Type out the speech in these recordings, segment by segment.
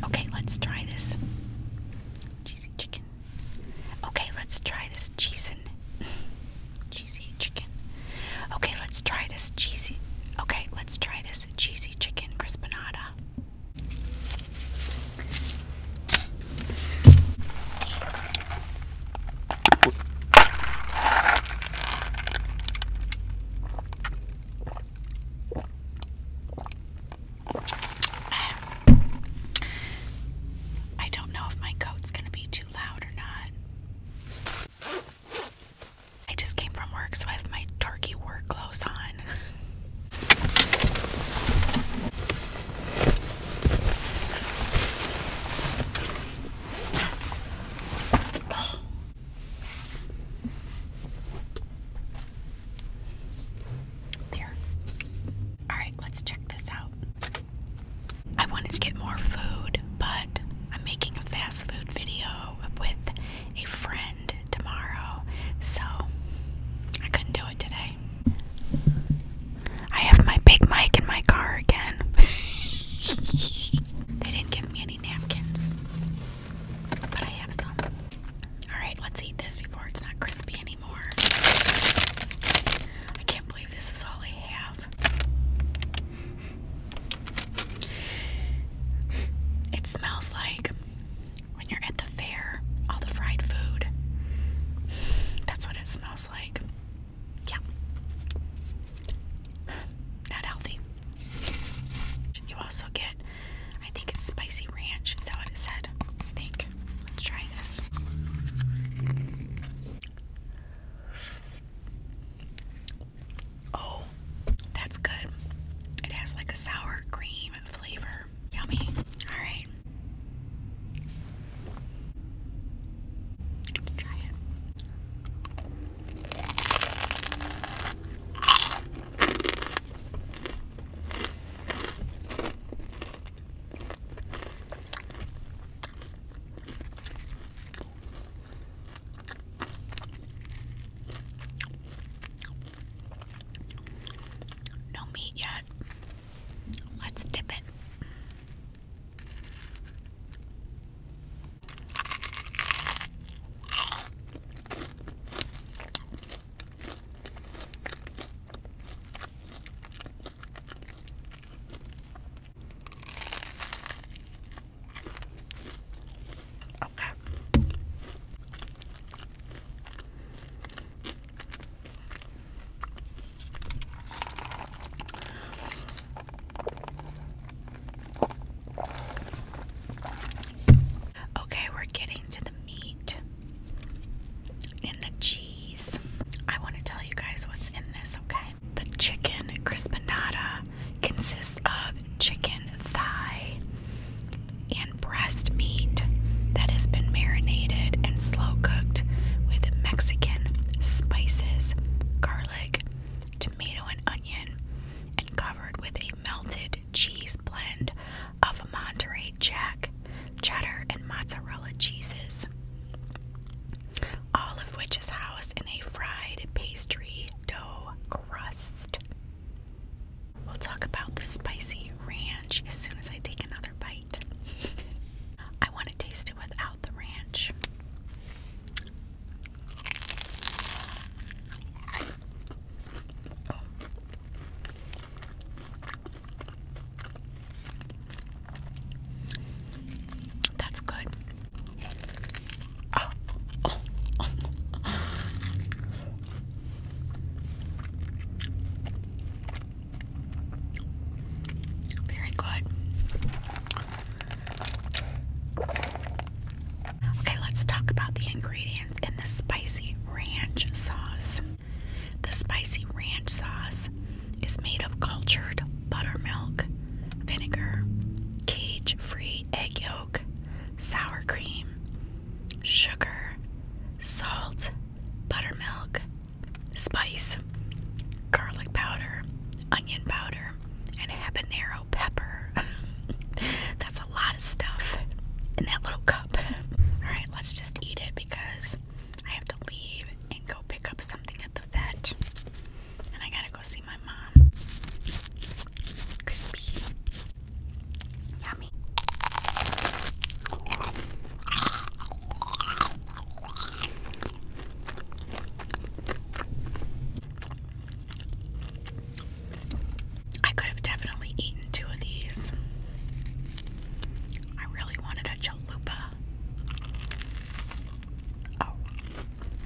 Okay, let's try this cheesy chicken. Okay, let's try this cheese cheesy chicken. Okay, let's try this cheesy. Okay, let's try this cheesy chicken crispinata. I don't know if my coat's going to be too loud or not. I just came from work, so I have my turkey work clothes on. There. All right, let's check this out. I wanted to get more food, but I'm making a fast food video with a friend tomorrow, so I couldn't do it today. I have my big mic in my car again. they didn't give me any napkins, but I have some. Alright, let's eat this before it's not crispy anymore. I can't believe this is all I have. It smells like when you're at the fair, all the fried food. That's what it smells like. Yeah. Not healthy. You also get, I think it's spicy ranch. Is that what it said? think. Let's try this. Oh, that's good. It has like a sour cream flavor. Yummy. Alright. Let's try it. No meat yet. Let's dip it. Okay. Okay, we're getting to the meat and the cheese. I want to tell you guys what's in this, okay? The chicken crispinata consists of chicken thigh and breast meat that has been marinated and slow cooked with Mexican spices, garlic, tomato, and onion, and covered with a melted cheese blend of Monterey Jack, cheddar, and mozzarella cheeses. All of which is housed in a fried pastry dough crust. We'll talk about the spicy ranch as soon as I take another bite. I want to taste it without the ranch. That's good. Very good. Okay, let's talk about the ingredients in the spicy ranch sauce. The spicy ranch sauce is made of cultured buttermilk, vinegar, cage free egg yolk, sour cream, sugar, salt, buttermilk, spice, garlic powder, onion powder, and habanero pepper. That's a lot of stuff in that little cup. Alright, let's just eat it because I have to leave and go pick up something at the vet. And I gotta go see my mom. Crispy. Yummy. I could have definitely eaten two of these. I really wanted a chalupa. Oh.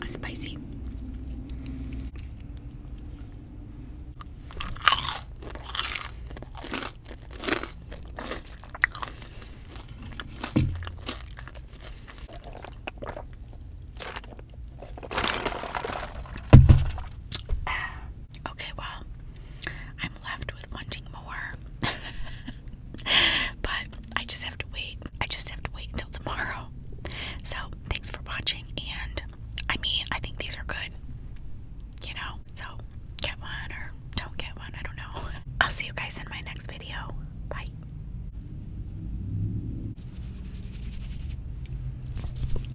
Oh. Spicy. Okay, well, I'm left with wanting more. but I just have to wait. I just have to wait until tomorrow. So, thanks for watching. And I mean, I think these are good. You know? So, get one or don't get one. I don't know. I'll see you guys in my next video. Bye.